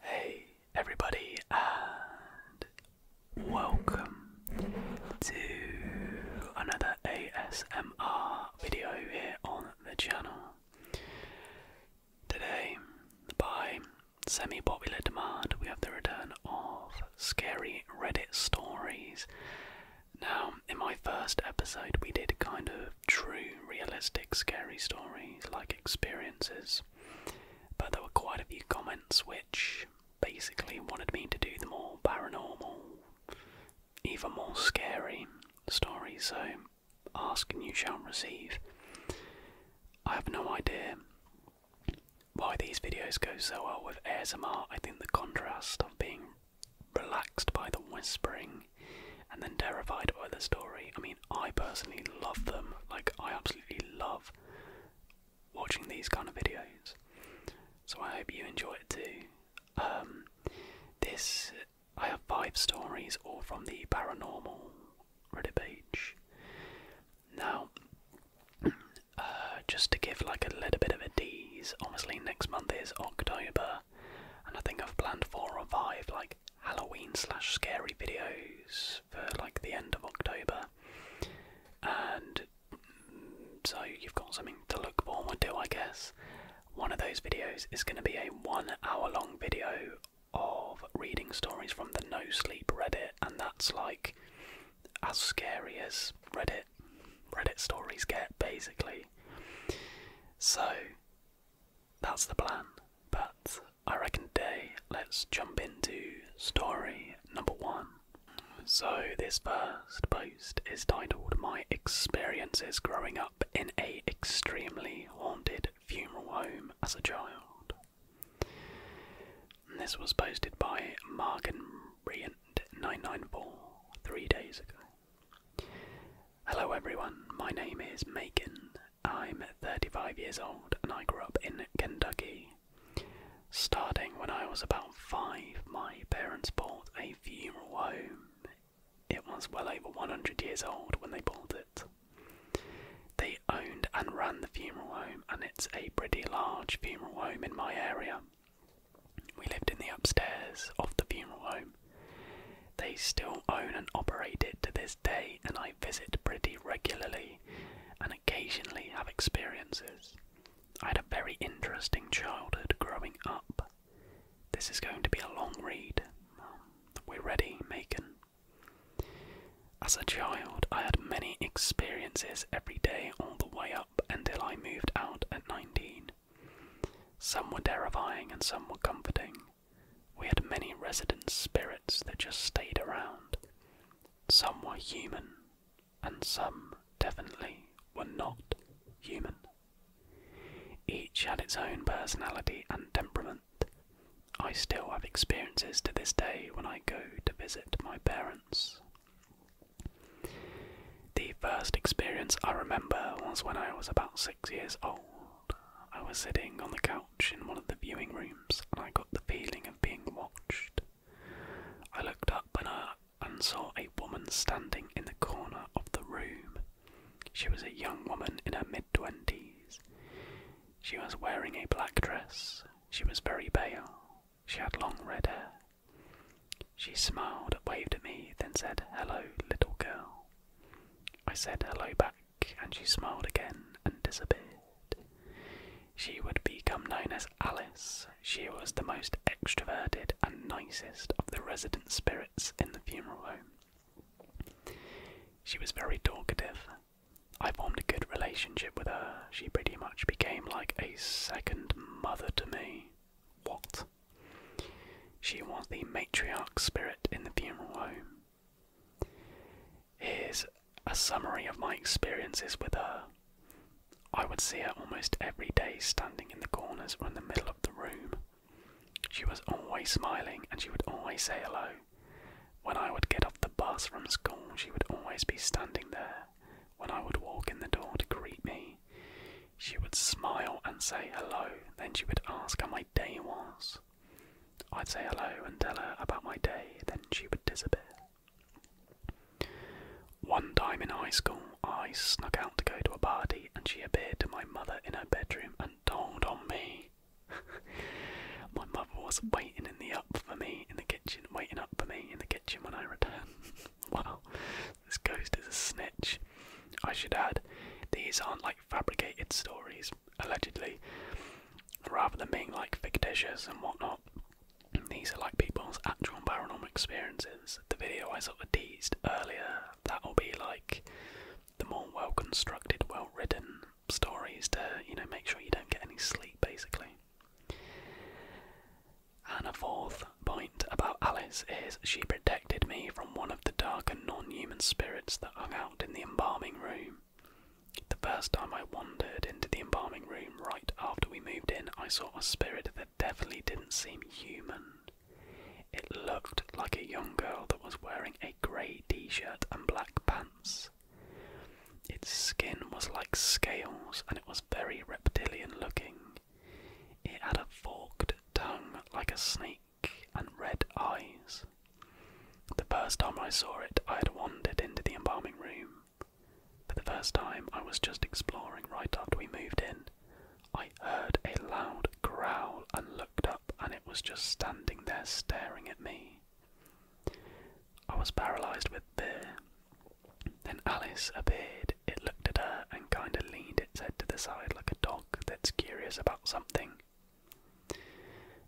Hey everybody and welcome to another ASMR video here on the channel. Today, by semi-popular demand, we have the return of scary Reddit stories. Now, in my first episode, we did kind of true realistic scary stories like experiences but there were quite a few comments which basically wanted me to do the more paranormal, even more scary stories. So, ask and you shall receive. I have no idea why these videos go so well with ASMR. I think the contrast of being relaxed by the whispering and then terrified by the story. I mean, I personally love them. Like, I absolutely love watching these kind of videos. So I hope you enjoy it too. Um, this I have five stories, all from the paranormal Reddit page. Now, uh, just to give like a little bit of a tease, obviously next month is October, and I think I've planned four or five like Halloween slash scary videos for like the end of October, and mm, so you've got something to look forward to, I guess. One of those videos is going to be a one hour long video of reading stories from the No Sleep Reddit, and that's like as scary as Reddit Reddit stories get, basically. So that's the plan, but I reckon today let's jump into story number one. So, this first post is titled My Experiences Growing Up in a Extremely Haunted Funeral Home as a Child. This was posted by Margan Brient994 three days ago. Hello everyone, my name is Macon I'm 35 years old and I grew up in Kentucky. Starting when I was about five, my parents bought a funeral home. It was well over 100 years old when they bought it. They owned and ran the funeral home, and it's a pretty large funeral home in my area. We lived in the upstairs of the funeral home. They still own and operate it to this day, and I visit pretty regularly and occasionally have experiences. I had a very interesting childhood growing up. This is going to be a long read. Um, we're ready, Macon. As a child, I had many experiences every day all the way up until I moved out at 19. Some were terrifying and some were comforting. We had many resident spirits that just stayed around. Some were human, and some definitely were not human. Each had its own personality and temperament. I still have experiences to this day when I go to visit my parents. The first experience I remember was when I was about six years old. I was sitting on the couch in one of the viewing rooms, and I got the feeling of being watched. I looked up and, I, uh, saw a woman standing in the corner of the room. She was a young woman in her mid twenties. She was wearing a black dress. She was very pale. She had long red hair. She smiled, waved at me, then said, Hello, little girl. I said hello back and she smiled again and disappeared. She would become known as Alice. She was the most extroverted and nicest of the resident spirits in the funeral home. She was very talkative. I formed a good relationship with her. She pretty much became like a second mother to me. What? She was the matriarch spirit in the funeral home. Here's a summary of my experiences with her. I would see her almost every day standing in the corners or in the middle of the room. She was always smiling and she would always say hello. When I would get off the bus from school, she would always be standing there. When I would walk in the door to greet me, she would smile and say hello. Then she would ask how my day was. I'd say hello and tell her about my day, then she would disappear. One time in high school, I snuck out to go to a party and she appeared to my mother in her bedroom and told on me. my mother was waiting in the up for me in the kitchen, waiting up for me in the kitchen when I returned. Well, this ghost is a snitch. I should add, these aren't like fabricated stories allegedly, rather than being like fictitious and whatnot. These are like people's actual paranormal experiences. The video I sort of teased earlier, that'll be like the more well constructed, well written stories to, you know, make sure you don't get any sleep basically. And a fourth point about Alice is she protected me from one of the dark and non human spirits that hung out in the embalming room. The first time I wandered into the embalming room right after we moved in, I saw a spirit that definitely didn't seem human. It looked like a young girl that was wearing a grey t shirt and black pants. Its skin was like scales and it was very reptilian looking. It had a forked tongue like a snake and red eyes. The first time I saw it, I had wandered into the embalming room. For the first time, I was just exploring right after we moved in. I heard a loud growl and looked up, and it was just standing there staring at me. I was paralysed with fear. Then Alice appeared. It looked at her and kind of leaned its head to the side like a dog that's curious about something.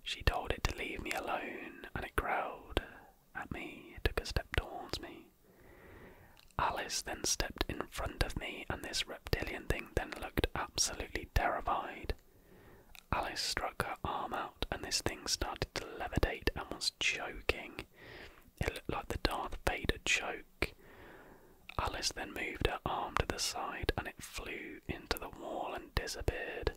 She told it to leave me alone, and it growled at me, he took a step towards me. Alice then stepped in front of me, and this reptilian thing then looked absolutely terrified. Alice struck her arm out, and this thing started to levitate and was choking. It looked like the Darth Vader choke. Alice then moved her arm to the side, and it flew into the wall and disappeared.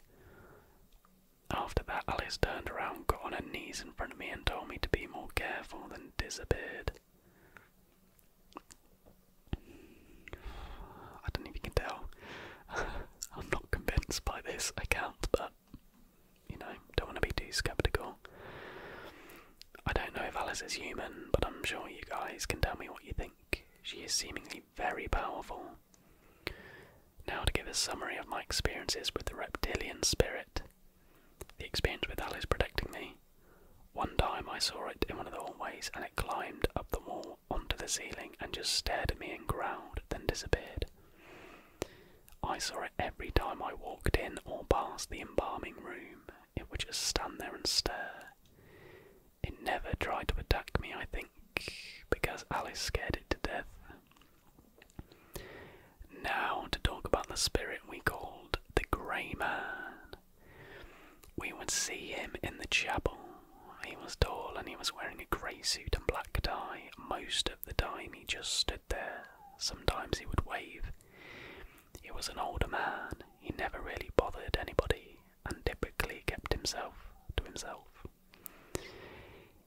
After that, Alice turned around, got on her knees in front of me, and told me to be more careful, then disappeared. I don't know if you can tell. I'm not convinced by this account, but you know, don't want to be too skeptical. I don't know if Alice is human, but I'm sure you guys can tell me what you think. She is seemingly very powerful, now, to give a summary of my experiences with the reptilian spirit the experience with Alice protecting me. One time I saw it in one of the hallways and it climbed up the wall onto the ceiling and just stared at me and growled, then disappeared. I saw it every time I walked in or past the embalming room. It would just stand there and stare. It never tried to attack me, I think, because Alice scared it to death. Now, to talk about the spirit we called the Grey Man. We would see him in the chapel. He was tall and he was wearing a grey suit and black tie. Most of the time, he just stood there. Sometimes he would wave. He was an older man. He never really bothered anybody and typically kept himself to himself.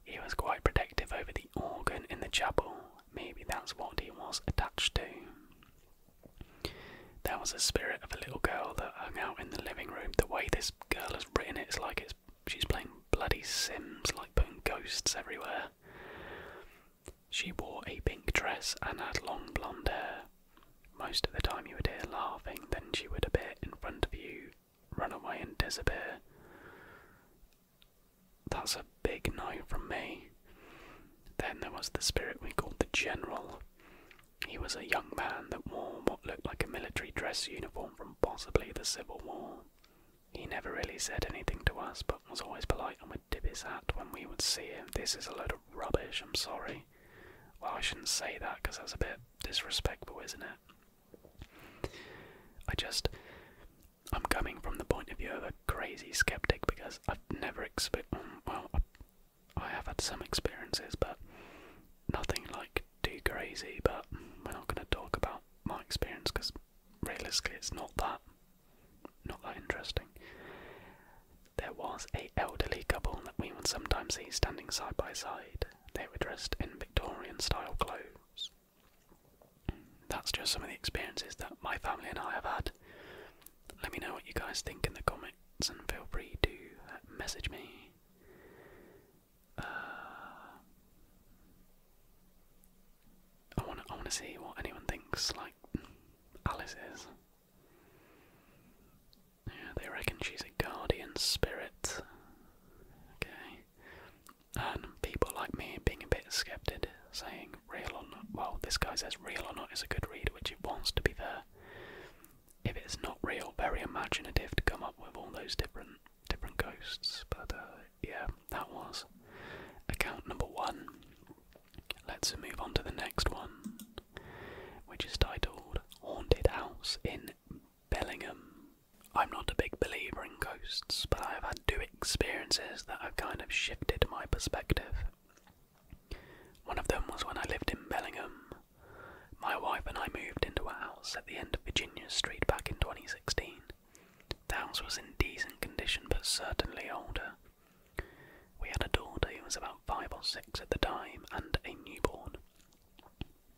He was quite protective over the organ in the chapel. Maybe that's what he was attached to. There was a spirit of a little girl that hung out in the living room. The way this girl has written it is like it's she's playing bloody Sims, like putting ghosts everywhere. She wore a pink dress and had long blonde hair. Most of the time you would hear laughing, then she would appear in front of you Run away and Disappear. That's a big no from me. Then there was the spirit we called the General. He was a young man that wore what looked like a military dress uniform from possibly the Civil War. He never really said anything to us, but was always polite and would tip his hat when we would see him. This is a load of rubbish, I'm sorry. Well, I shouldn't say that because that's a bit disrespectful, isn't it? I just. I'm coming from the point of view of a crazy skeptic because I've never experienced. Um, well, I have had some experiences, but nothing like too crazy. But we're not going to talk about my experience because realistically, it's not that, not that interesting. There was a elderly couple that we would sometimes see standing side by side. They were dressed in Victorian-style clothes. That's just some of the experiences that my family and I have had. Let me know what you guys think in the comments and feel free to uh, message me. Uh, I want to I wanna see what anyone thinks, like Alice is. Yeah, they reckon she's a guardian spirit. Okay and people like me being a bit skeptic, saying real or not. Well, this guy says real or not is a good read, which it wants to be there. If it's not real, very imaginative to come up with all those different different ghosts. But uh, yeah, that was account number one. Let's move on to the next one, which is titled Haunted House in Bellingham. I'm not a big believer in ghosts, but I have had two experiences that have kind of shifted my perspective. One of them was when I lived in Bellingham. My wife and I moved into a house at the end of Virginia Street back in 2016. The house was in decent condition but certainly older. We had a daughter who was about five or six at the time and a newborn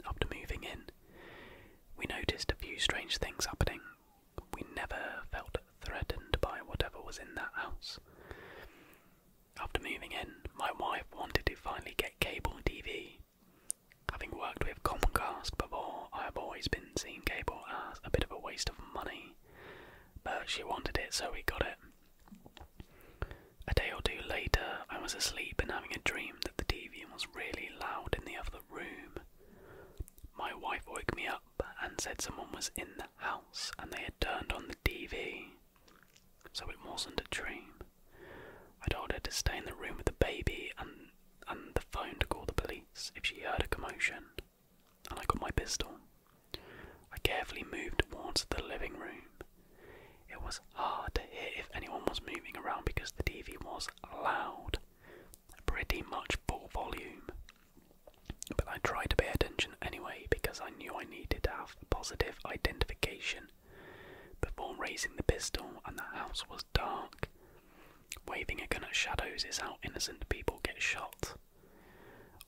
after moving in, we noticed a few strange things happening. We never felt threatened by whatever was in that house. After moving in, my wife wanted to finally get cable TV. Having worked with Comcast before, I have always been seeing cable as a bit of a waste of money, but she wanted it, so we got it. A day or two later, I was asleep and having a dream that the TV was really loud in the other room. My wife woke me up and said someone was in the house and they had turned on the TV. So it wasn't a dream. I told her to stay in the room with the baby and and the phone to call the police if she heard a commotion. And I got my pistol. I carefully moved towards the living room. It was hard to hear if anyone was moving around because the TV was loud pretty much full volume. But I tried to pay attention anyway because I knew I needed to have positive identification before raising the pistol, and the house was dark. Waving a gun at shadows is how innocent people get shot.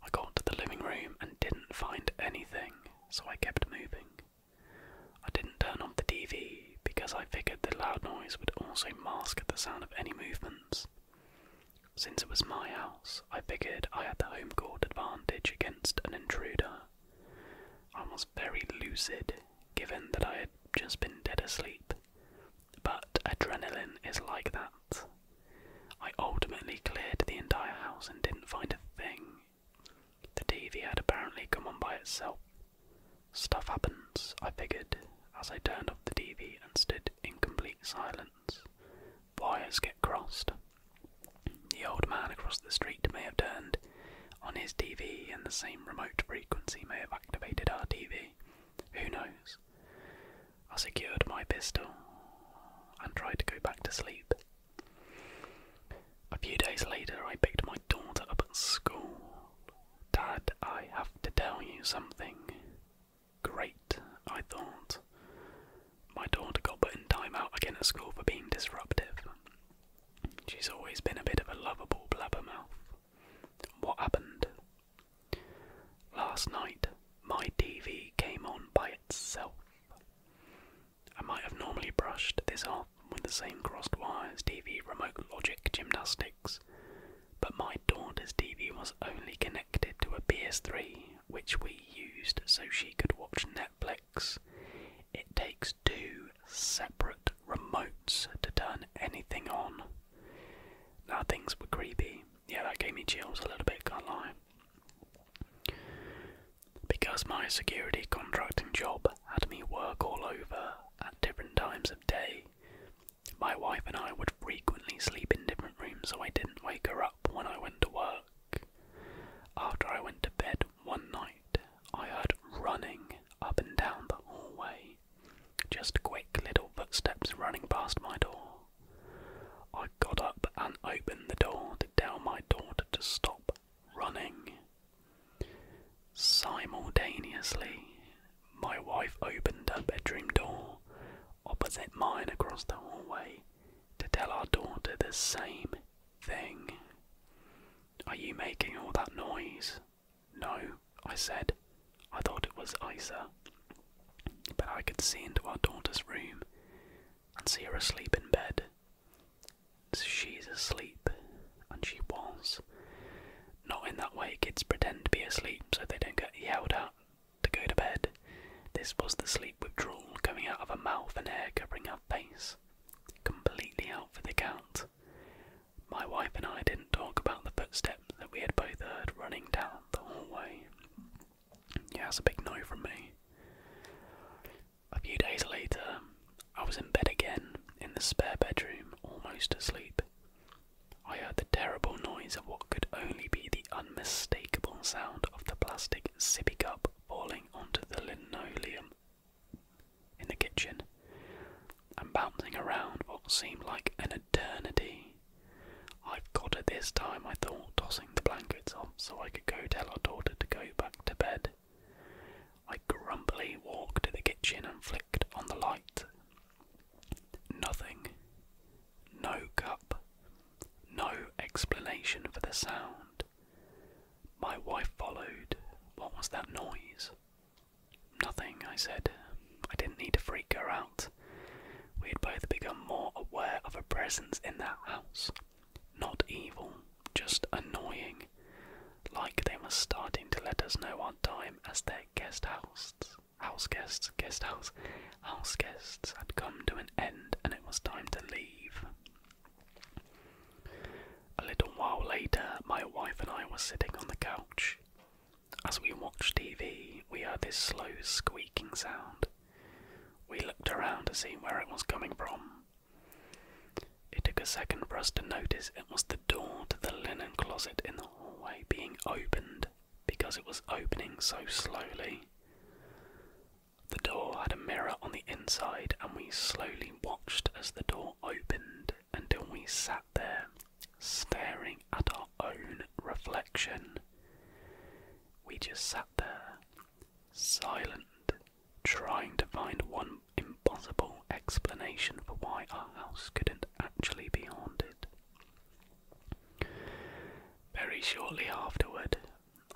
I got to the living room and didn't find anything, so I kept moving. I didn't turn off the TV because I figured the loud noise would also mask the sound of any movements. Since it was my house, I figured I had the home court advantage against an intruder. I was very lucid, given that I had just been dead asleep, but adrenaline is like that. I ultimately cleared the entire house and didn't find a thing. The TV had apparently come on by itself, Stuff happens, I figured, as I turned off the TV and stood in complete silence. Wires get crossed. The old man across the street may have turned on his TV, and the same remote frequency may have activated our TV. Who knows? I secured my pistol and tried to go back to sleep. A few days later, I picked my daughter up at school. Dad, I have to tell you something. Great, I thought. My daughter got put in time out again at school for being disruptive. She's always been a bit of a lovable blabbermouth. What happened? Last night, my TV came on by itself. I might have normally brushed this off with the same crossed wires, TV, remote logic, gymnastics. But my daughter's TV was only connected to a PS3, which we used so she could watch Netflix. It takes two separate remotes to turn anything on. Now things were creepy. Yeah, that gave me chills a little bit, can't lie. Because my security contracting job had me work all over at different times of day, my wife and I would frequently sleep in different rooms, so I didn't wake her up when I went to work. After I went to bed one night, I heard running up and down the hallway, just quick little footsteps running past my door. I got up and opened the door to tell my daughter to stop running. Simultaneously, my wife opened her bedroom door opposite mine across the hallway to tell our daughter the same thing. Are you making all that noise? No, I said. I thought it was Isa. But I could see into our daughter's room and see her asleep in bed. She's asleep, and she was. Not in that way kids pretend to be asleep so they don't get yelled at to go to bed. This was the sleep withdrawal coming out of her mouth and hair covering her face. Completely out for the count. My wife and I didn't talk about the footsteps that we had both heard running down the hallway. Yeah, that's a big no from me. A few days later, I was in bed again in the spare bedroom, almost asleep. I heard the terrible noise of what could only be the unmistakable sound of the plastic sippy cup falling onto the linoleum in the kitchen and bouncing around what seemed like an eternity. I've got it this time, I thought, tossing the blankets off so I could go tell our daughter to go back to bed. I grumpily walked to the kitchen and flicked on the light, Nothing. No cup. No explanation for the sound. My wife followed. What was that noise? Nothing, I said. I didn't need to freak her out. We had both become more aware of a presence in that house. Not evil, just annoying like they were starting to let us know our time as their guest hosts, house guests, guest house, house guests had come to an end and it was time to leave. A little while later, my wife and I were sitting on the couch. As we watched TV, we heard this slow squeaking sound. We looked around to see where it was coming from. It took a second for us to notice it was the the door to the linen closet in the hallway being opened because it was opening so slowly. The door had a mirror on the inside, and we slowly watched as the door opened until we sat there, staring at our own reflection. We just sat there, silent, trying to find one impossible explanation for why our house couldn't could actually be haunted. Very shortly afterward,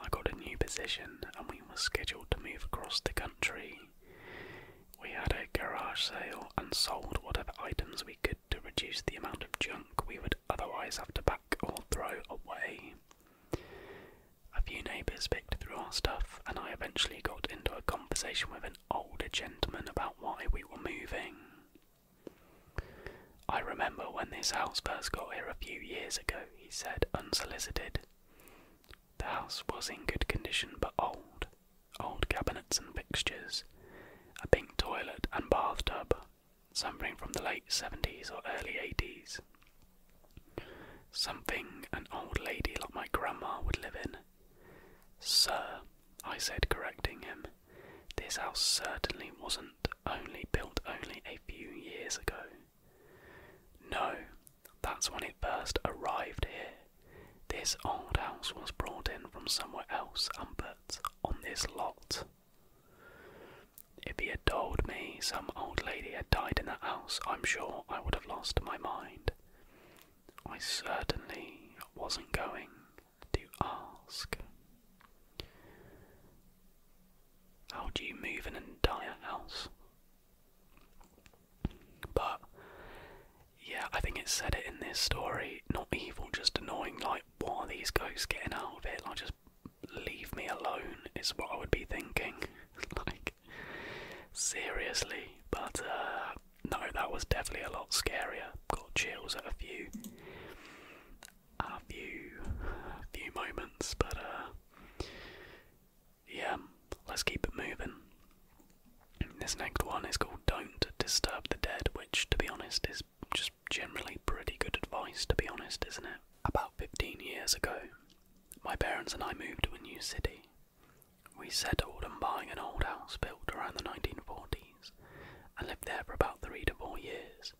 I got a new position and we were scheduled to move across the country. We had a garage sale and sold whatever items we could to reduce the amount of junk we would otherwise have to pack or throw away. A few neighbours picked through our stuff, and I eventually got into a conversation with an older gentleman about why we were moving. I remember when this house first got here a few years ago, he said, unsolicited. The house was in good condition but old old cabinets and fixtures, a pink toilet and bathtub, something from the late 70s or early 80s. Something an old lady like my grandma would live in. Sir, I said, correcting him, this house certainly wasn't only built only a few years ago. No, that's when it first arrived here. This old house was brought in from somewhere else and put on this lot. If he had told me some old lady had died in the house, I'm sure I would have lost my mind. I certainly wasn't going to ask. How do you move an entire house? But yeah, I think it said it in this story. Not evil, just annoying. Like, what are these ghosts getting out of it? Like, just leave me alone, is what I would be thinking. like, seriously. But, uh, no, that was definitely a lot scarier. Got chills at a few, a few, few moments, but uh, yeah, let's keep it moving. This next one is called "Don't Disturb the Dead," which, to be honest, is just generally pretty good advice. To be honest, isn't it? About 15 years ago, my parents and I moved to a new city. We settled on buying an old house built around the 1940s and lived there for about three to four years.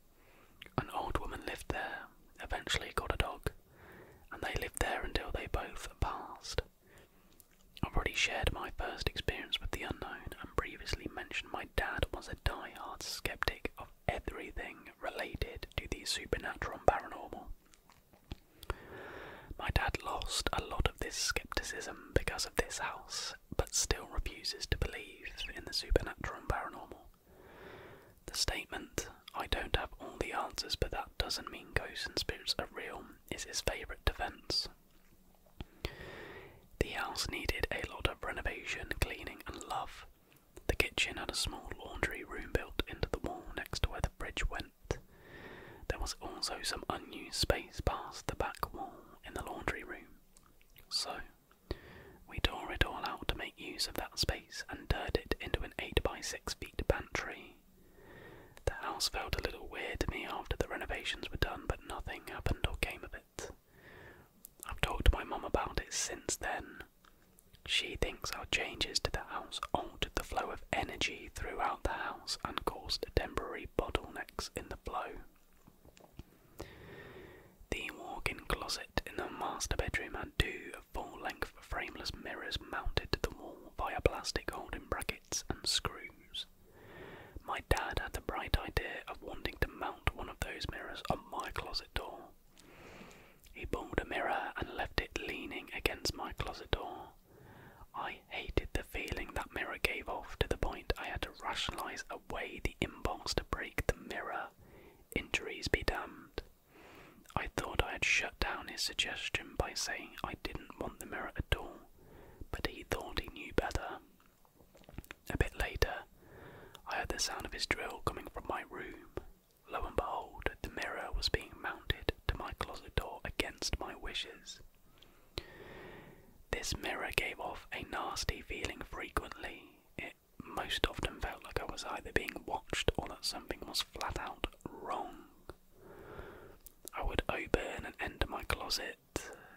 An old woman lived there, eventually got a dog, and they lived there until they both passed. I've already shared my first experience with the unknown and previously mentioned my dad was a die-hard skeptic of everything related to the supernatural and paranormal. My dad lost a lot of this skepticism because of this house, but still refuses to believe in the supernatural and paranormal. The statement, I don't have all the answers, but that doesn't mean ghosts and spirits are real, is his favourite defence. The house needed a lot of renovation, cleaning, and love. The kitchen had a small laundry room built into the wall next to where the bridge went. There was also some unused space past the back wall in the laundry room. So, we tore it all out to make use of that space and turned it into an 8 by 6 feet pantry. The house felt a little weird to me after the renovations were done, but nothing happened or came of it. I've talked to my mum about it since then. She thinks our changes to the house altered the flow of energy throughout the house and caused temporary bottlenecks in the flow. The walk in closet in the master bedroom had two full length frameless mirrors mounted to the wall via plastic holding brackets and screws. My dad had the bright idea of wanting to mount one of those mirrors on my closet door. He pulled a mirror and left it leaning against my closet door. I I hated the feeling that mirror gave off to the point I had to rationalize away the impulse to break the mirror. Injuries be damned. I thought I had shut down his suggestion by saying I didn't want the mirror at all, but he thought he knew better. A bit later, I heard the sound of his drill coming from my room. Lo and behold, the mirror was being mounted to my closet door against my wishes. This mirror gave off a nasty feeling frequently. It most often felt like I was either being watched or that something was flat out wrong. I would open and enter my closet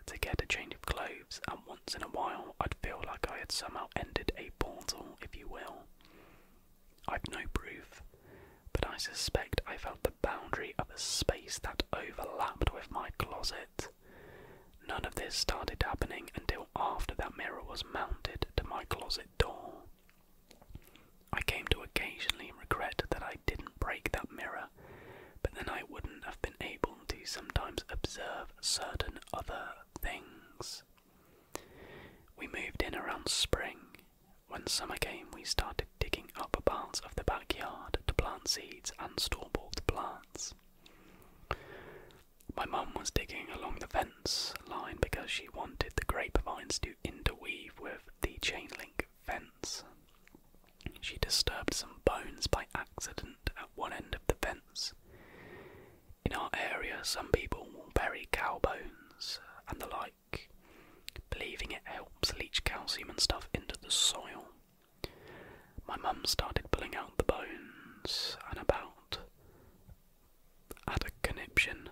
to get a change of clothes, and once in a while I'd feel like I had somehow ended a portal, if you will. I've no proof, but I suspect I felt the boundary of the space that overlapped with my closet. None of this started happening until after that mirror was mounted to my closet door. I came to occasionally regret that I didn't break that mirror, but then I wouldn't have been able to sometimes observe certain other things. We moved in around spring. When summer came, we started digging Upper parts of the backyard to plant seeds and store bought plants. My mum was digging along the fence line because she wanted the grapevines to interweave with the chain link fence. She disturbed some bones by accident at one end of the fence. In our area, some people will bury cow bones and the like, believing it helps leach calcium and stuff into the soil. My mum started pulling out the bones and about had a conniption.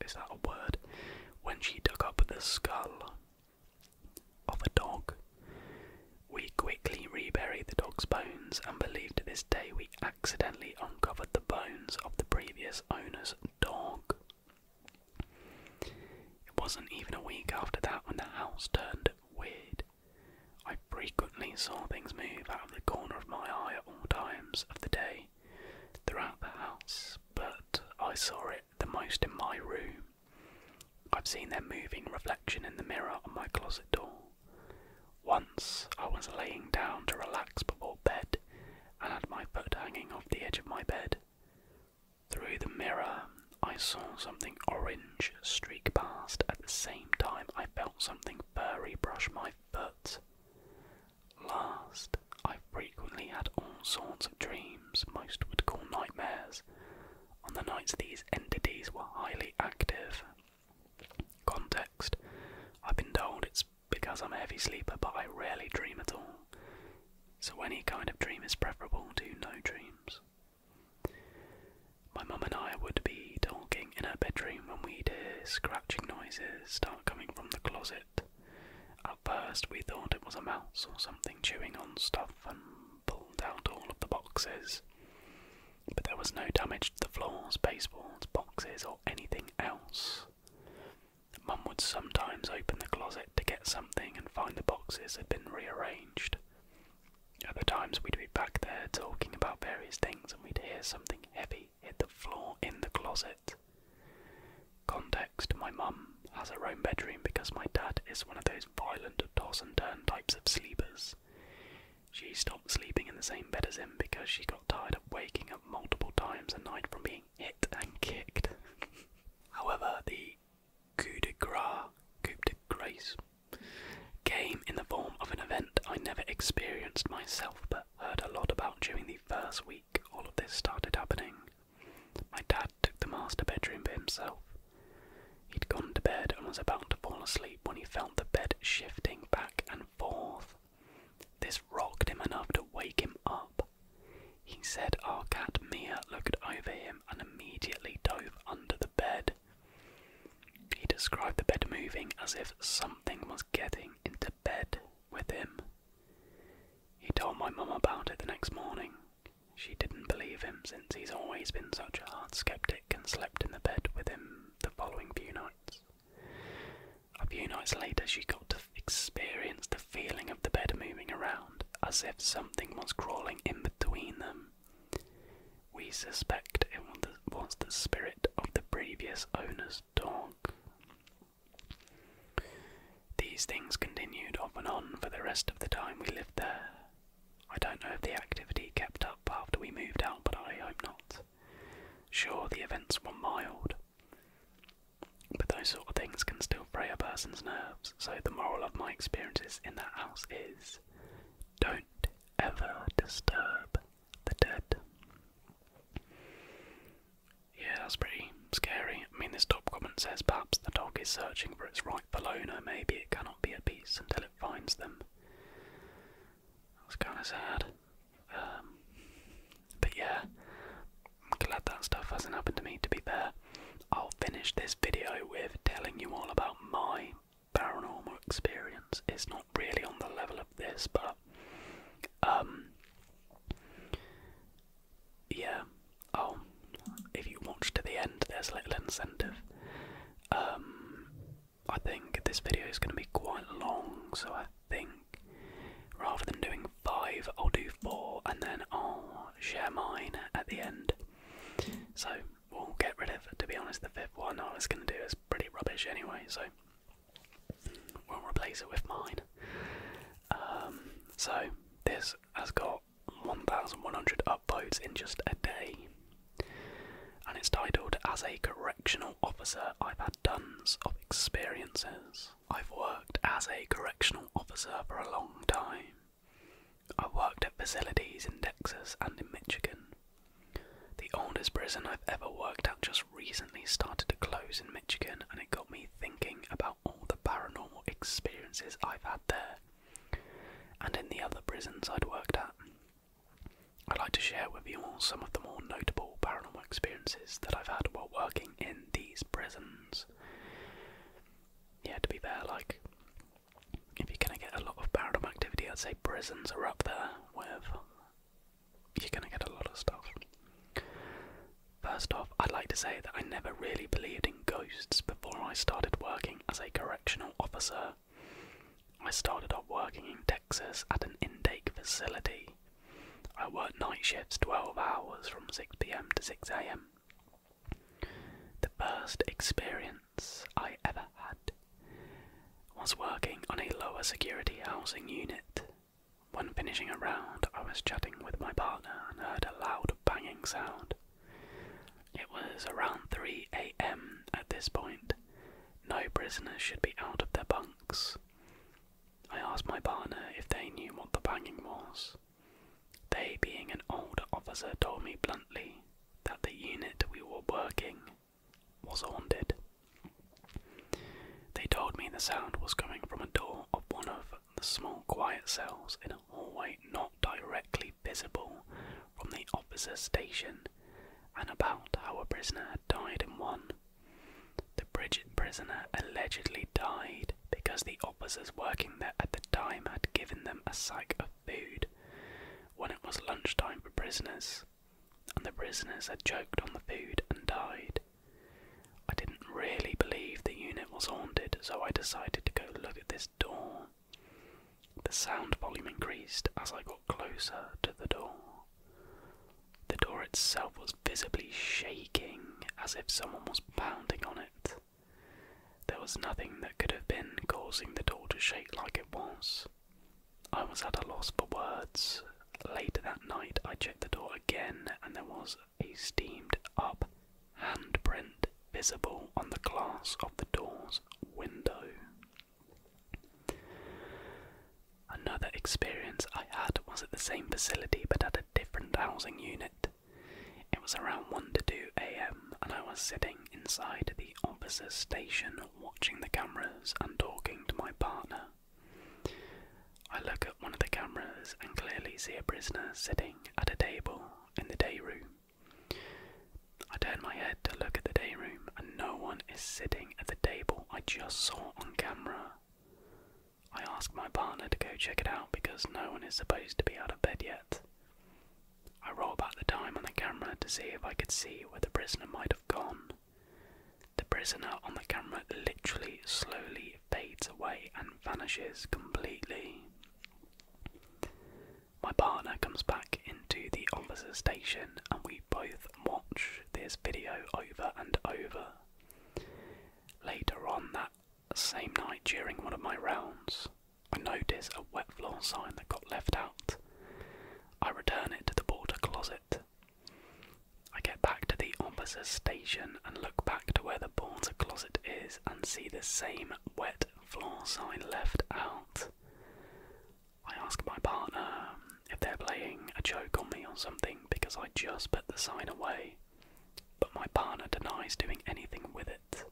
Is that a word? When she dug up the skull of a dog. We quickly reburied the dog's bones and believe to this day we accidentally uncovered the bones of the previous owner's dog. It wasn't even a week after that when the house turned weird. I frequently saw things move out of the corner of my eye at all times of the day throughout the house, but I saw it the most in my room. I've seen their moving reflection in the mirror on my closet door. Once I was laying down to relax before bed and had my foot hanging off the edge of my bed. Through the mirror, I saw something orange streak past. At the same time, I felt something furry brush my foot. Last, I frequently had all sorts of dreams, most would call nightmares. On the nights these entities were highly active. Context I've been told it's because I'm a heavy sleeper, but I rarely dream at all. So, any kind of dream is preferable to no dreams. My mum and I would be talking in her bedroom when we'd hear scratching noises start coming from the closet. At first, we thought it was a mouse or something chewing on stuff and pulled out all of the boxes. But there was no damage to the floors, baseboards, boxes, or anything else. Mum would sometimes open the closet to get something and find the boxes had been rearranged, other times we'd be back there talking about various things and we'd hear something heavy hit the floor in the closet. Context My mum has her own bedroom because my dad is one of those violent toss and turn types of sleepers. She stopped sleeping in the same bed as him because she got tired of waking up multiple times a night from being hit and kicked. However, the coup de grace, coup de grace came in the form of an event I never experienced myself but heard a lot about during the first week all of this started happening. My dad took the master bedroom for himself. He'd gone to bed and was about to fall asleep when he felt the bed shifting back and forth. This rocked him enough to wake him up. He said our cat Mia looked over him and immediately dove under the bed. He described the bed moving as if something was getting into bed with him. He told my mum about it the next morning. She didn't believe him since he's always been such a hard skeptic and slept in the bed with him the following few nights. A few nights later, she got to experience the feeling of the bed moving around as if something was crawling in between them. We suspect it was the spirit of the previous owner's dog. These things continued off and on for the rest of the time we lived there. I don't know if the activity kept up after we moved out, but I hope not. Sure, the events were mild, but those sort of things can still fray a person's nerves. So, the moral of my experiences in that house is don't ever disturb the dead. Yeah, that's pretty scary. I mean, this top comment says perhaps the dog is searching for its rightful owner. Maybe it cannot be at peace until it finds them. That's kind of sad. Um, but yeah, I'm glad that stuff hasn't happened to me, to be fair. I'll finish this video with telling you all about my paranormal experience. It's not really on the level of this, but um, yeah. Oh, if you watch to the end, there's a little incentive. Um, I think this video is going to be quite long, so I think rather than doing five, I'll do four, and then I'll share mine at the end. So we'll get rid of. To be honest, the fifth one I was going to do is pretty rubbish anyway, so we'll replace it with mine. Um, so this has got 1,100 upvotes in just a day, and it's titled As a Correctional Officer, I've Had Tons of Experiences. I've worked as a correctional officer for a long time. I worked at facilities in Texas and in Michigan. The oldest prison I've ever worked at just recently started to close in Michigan, and it got me thinking about all the paranormal experiences I've had there and in the other prisons I'd worked at. I'd like to share with you all some of the more notable paranormal experiences that I've had while working in these prisons. Yeah, to be there, like, if you're going to get a lot of paranormal activity, I'd say prisons are up there with. You're going to get a lot of stuff. First off, I'd like to say that I never really believed in ghosts before I started working as a correctional officer. I started off working in Texas at an intake facility. I worked night shifts 12 hours from 6pm to 6am the first experience I ever had was working on a lower security housing unit. When finishing a round, I was chatting with my partner and heard a loud banging sound. It was around 3 a.m. at this point. No prisoners should be out of their bunks. I asked my partner if they knew what the banging was. They, being an older officer, told me bluntly that the unit we were working was haunted. They told me the sound was coming from a door of one of the small quiet cells in a hallway not directly visible from the officers' station, and about how a prisoner had died in one. The Bridget prisoner allegedly died because the officers working there at the time had given them a sack of food when it was lunchtime for prisoners, and the prisoners had choked on the food and died. I didn't really believe the unit was haunted, so I decided to go look at this door. The sound volume increased as I got closer to the door. The door itself was visibly shaking as if someone was pounding on it. There was nothing that could have been causing the door to shake like it was. I was at a loss for words. Later that night, I checked the door again, and there was a steamed up handprint visible on the glass of the door's window. Another experience I had was at the same facility but at a different housing unit. It was around 1 to 2 am, and I was sitting inside the officer's station watching the cameras and talking to my partner. I look at one of the cameras and clearly see a prisoner sitting at a table in the day room. I turn my head to look at the day room and no one is sitting at the table I just saw on camera. I ask my partner to go check it out because no one is supposed to be out of bed yet. I roll back the time on the camera to see if I could see where the prisoner might have gone. The prisoner on the camera literally slowly fades away and vanishes completely. My partner comes back into the officer's station and we both watch this video over and over. Later on that same night during one of my rounds, I notice a wet floor sign that got left out. I return it to the border closet. I get back to the officer's station and look back to where the border closet is and see the same wet floor sign left out. I ask my partner um, if they're playing a joke on me or something because I just put the sign away, but my partner denies doing anything with it.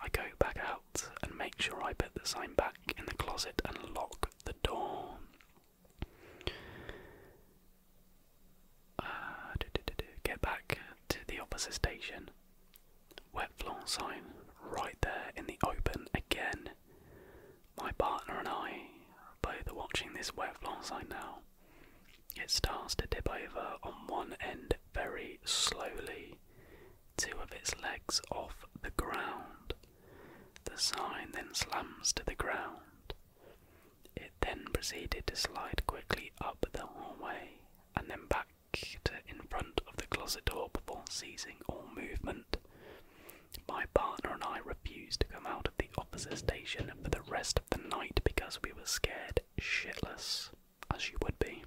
I go back out and make sure I put the sign back in the closet and lock the door. Uh, Get back to the opposite station. Wet floor sign right there in the open again. My partner and I both watching this wet floor sign now. It starts to dip over on one end very slowly two of its legs off the ground. The sign then slams to the ground. It then proceeded to slide quickly up the hallway and then back to in front of the closet door before ceasing all movement. My partner and I refused to come out of the officer station for the rest of the night because we were scared shitless as you would be.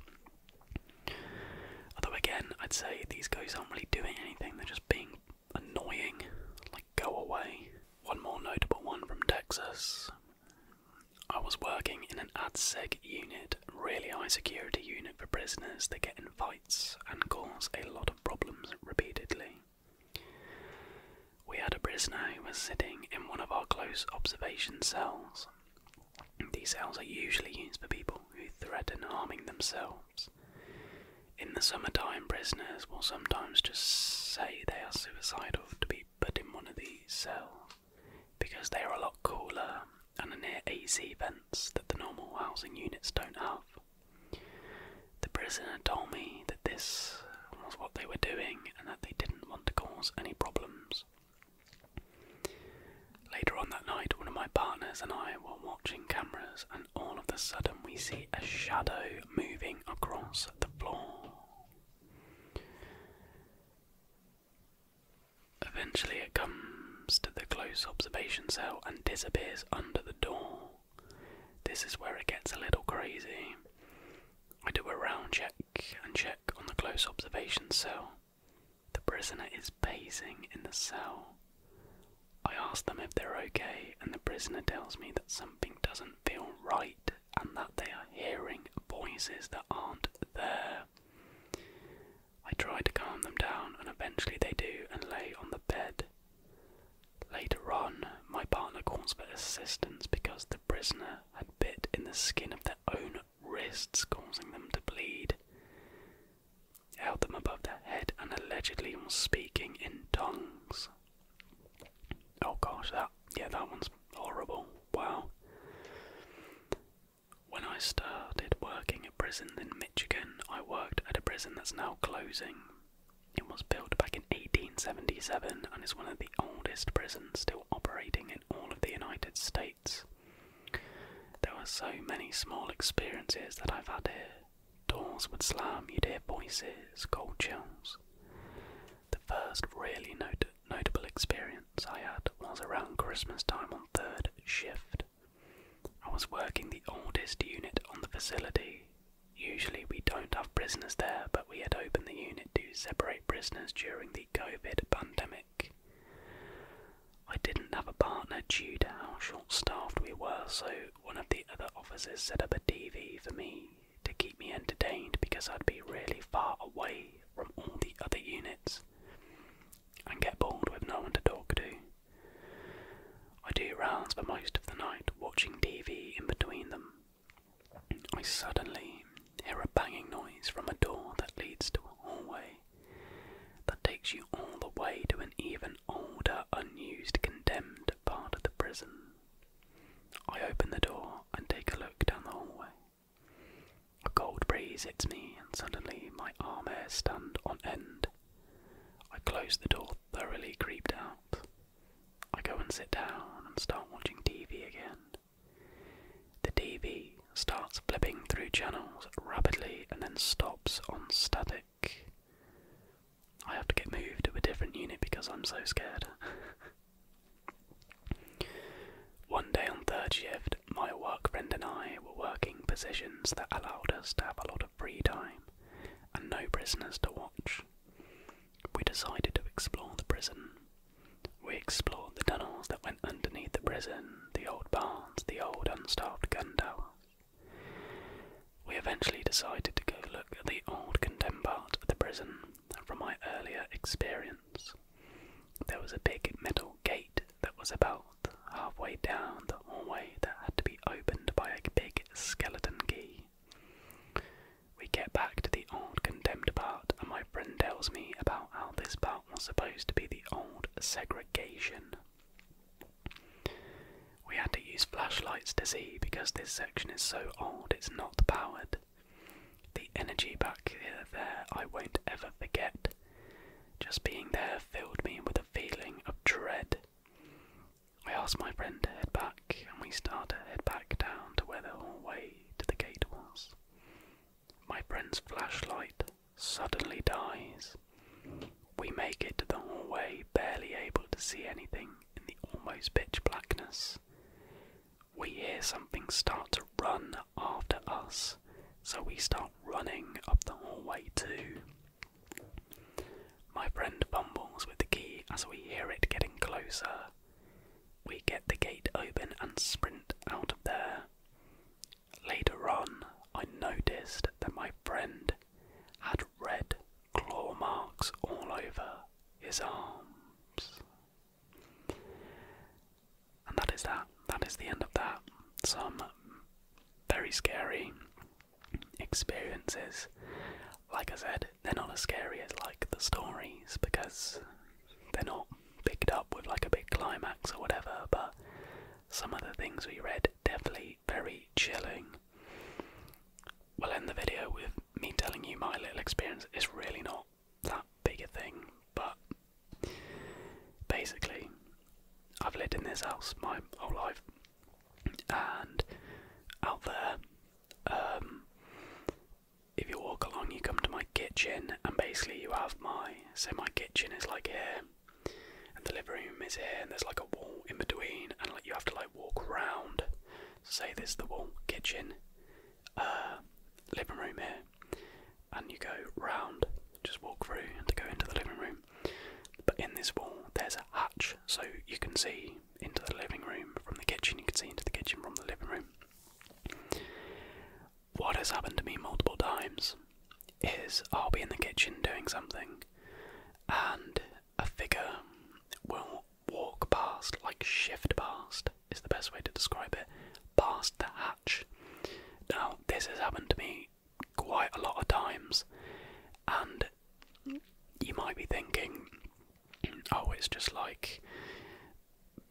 Although, again, I'd say these guys aren't really doing anything, they're just being annoying. Like, go away. One more notable one from Texas. I was working in an ADSEG unit, really high security unit for prisoners that get in fights and cause a lot of problems repeatedly. We had a prisoner who was sitting in one of our close observation cells these cells are usually used for people who threaten harming themselves. In the summertime, prisoners will sometimes just say they are suicidal to be put in one of these cells because they are a lot cooler and near AC vents that the normal housing units don't have. The prisoner told me that this was what they were doing and that they didn't want to cause any problems. Later on that night, one of my partners and I were watching cameras, and all of a sudden, we see a shadow moving across the floor. Eventually, it comes to the close observation cell and disappears under the door. This is where it gets a little crazy. I do a round check and check on the close observation cell. The prisoner is pacing in the cell. I ask them if they're okay, and the prisoner tells me that something doesn't feel right and that they are hearing voices that aren't there. I try to calm them down, and eventually they do and lay on the bed. Later on, my partner calls for assistance because the prisoner had bit in the skin of their own own wrists, causing them to bleed. held them above their head and allegedly was speaking in tongues. Oh gosh, that yeah, that one's horrible. Wow. When I started working at prison in Michigan, I worked at a prison that's now closing. It was built back in 1877 and is one of the oldest prisons still operating in all of the United States. There were so many small experiences that I've had here. Doors would slam, you'd hear voices, cold chills. The first really notable experience I had was around Christmas time on third shift. I was working the oldest unit on the facility. Usually we don't have prisoners there, but we had opened the unit to separate prisoners during the COVID pandemic. I didn't have a partner due to how short staffed we were, so one of the other officers set up a TV for me to keep me entertained because I'd be really far away from all the other units and get bored with no one to talk to. I do rounds for most of the night, watching TV in between them. I suddenly hear a banging noise from a door that leads to a hallway. That takes you all the way to an even older, unused, condemned part of the prison. I open the door and take a look down the hallway. A cold breeze hits me, and suddenly my arm hairs stand on end. I close the door, thoroughly creeped out. I go and sit down and start watching TV again. The TV starts flipping through channels rapidly and then stops on static. I have to get moved to a different unit because I'm so scared. One day on third shift, my work friend and I were working positions that allowed us to have a lot of free time and no prisoners to watch. We decided to explore the prison. We explored the tunnels that went underneath the prison the old barns, the old unstaffed gun We eventually decided to go look at the old condemned part of the prison, and from my earlier experience, there was a big metal gate that was about halfway down the hallway that had to be opened by a big skeleton key. We get back to the old condemned part, and my friend tells me about how this part was supposed to be the old segregation we had to use flashlights to see because this section is so old it's not powered. The energy back there I won't ever forget. Just being there filled me with a feeling of dread. I asked my friend to head back, and we started to head back down to where the hallway to the gate was. My friend's flashlight suddenly dies. We make it to the hallway, barely able to see anything in the almost pitch blackness. We hear something start to run after us, so we start running up the hallway too. My friend bumbles with the key as we hear it getting closer. We get the gate open and sprint out of there. Later on, I noticed that my friend had red claw marks all over his arms. And that is that. That is the end of that. Some very scary experiences. Like I said, they're not as scary as like the stories because they're not picked up with like a big climax or whatever, but some of the things we read definitely very chilling. We'll end the video with me telling you my little experience. It's really not that big a thing, but basically, I've lived in this house my whole life, and out there, um, if you walk along, you come to my kitchen, and basically, you have my so my kitchen is like here, and the living room is here and there's like a wall in between and like you have to like walk around so say there's the wall kitchen uh living room here and you go round just walk through and to go into the living room but in this wall there's a hatch so you can see into the living room from the kitchen you can see into the kitchen from the living room what has happened to me multiple times is I'll be in the kitchen doing something, and a figure will walk past, like shift past, is the best way to describe it, past the hatch. Now, this has happened to me quite a lot of times, and you might be thinking, oh, it's just like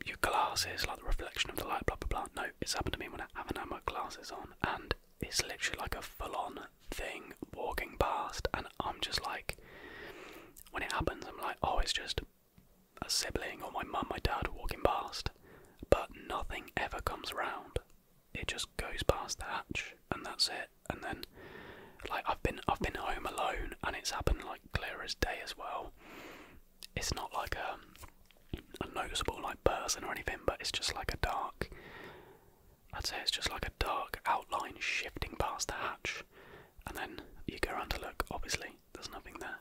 your glasses, like the reflection of the light, blah blah blah. No, it's happened to me when I haven't had my glasses on, and it's literally like a full on thing walking past, and I'm just like, when it happens, I'm like, oh, it's just a sibling or my mum, my dad walking past, but nothing ever comes round. It just goes past the hatch, and that's it. And then, like, I've been I've been home alone, and it's happened like clear as day as well. It's not like a um, Unnoticeable, like person or anything, but it's just like a dark. I'd say it's just like a dark outline shifting past the hatch, and then you go under look. Obviously, there's nothing there.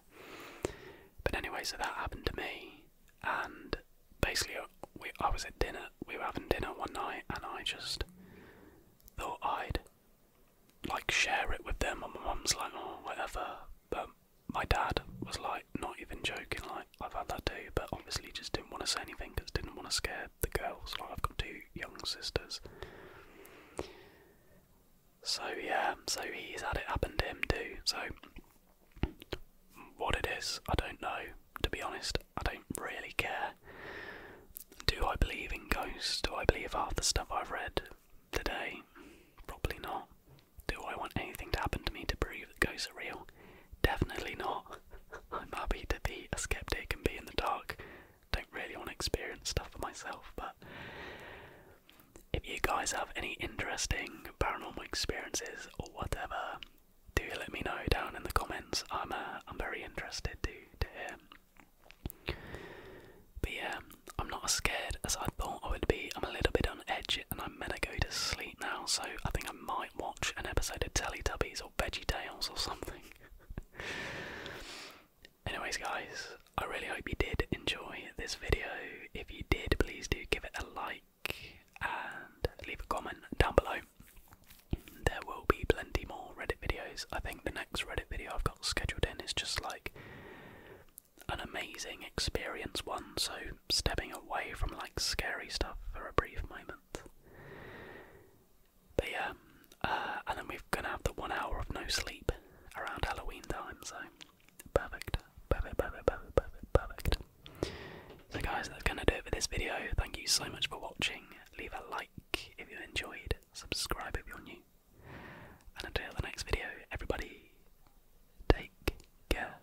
But anyway, so that happened to me, and basically, uh, we I was at dinner. We were having dinner one night, and I just thought I'd like share it with them. And my mum's like, oh, whatever. But my dad was like, not even joking, like, I've had that too, but obviously just didn't want to say anything because didn't want to scare the girls. Like, I've got two young sisters. So, yeah, so he's had it happen to him too. So, what this? I don't know. To be honest, I don't really care. Do I believe in ghosts? Do I believe half the stuff I've read today? Probably not. Do I want anything to happen to me to prove that ghosts are real? Definitely not. I'm happy to be a skeptic and be in the dark. Don't really want to experience stuff for myself, but if you guys have any interesting paranormal experiences or whatever, do let me know down in the comments. I'm uh, I'm very interested to to hear. But yeah, I'm not as scared as I thought I would be. I'm a little bit on edge, and I'm gonna go to sleep now, so I think I might watch an episode of Teletubbies or Veggie Tales or something. Anyways, guys, I really hope you did enjoy this video. If you did, please do give it a like and leave a comment down below. There will be plenty more Reddit videos. I think the next Reddit video I've got scheduled in is just like an amazing experience one, so stepping away from like scary stuff for a brief moment. But yeah, uh, and then we're gonna have the one hour of no sleep around Halloween time, so perfect, perfect, perfect, perfect, perfect. So, guys, that's gonna do it for this video. Thank you so much for watching. Leave a like if you enjoyed, subscribe if you're new, and until the next video, everybody, take care.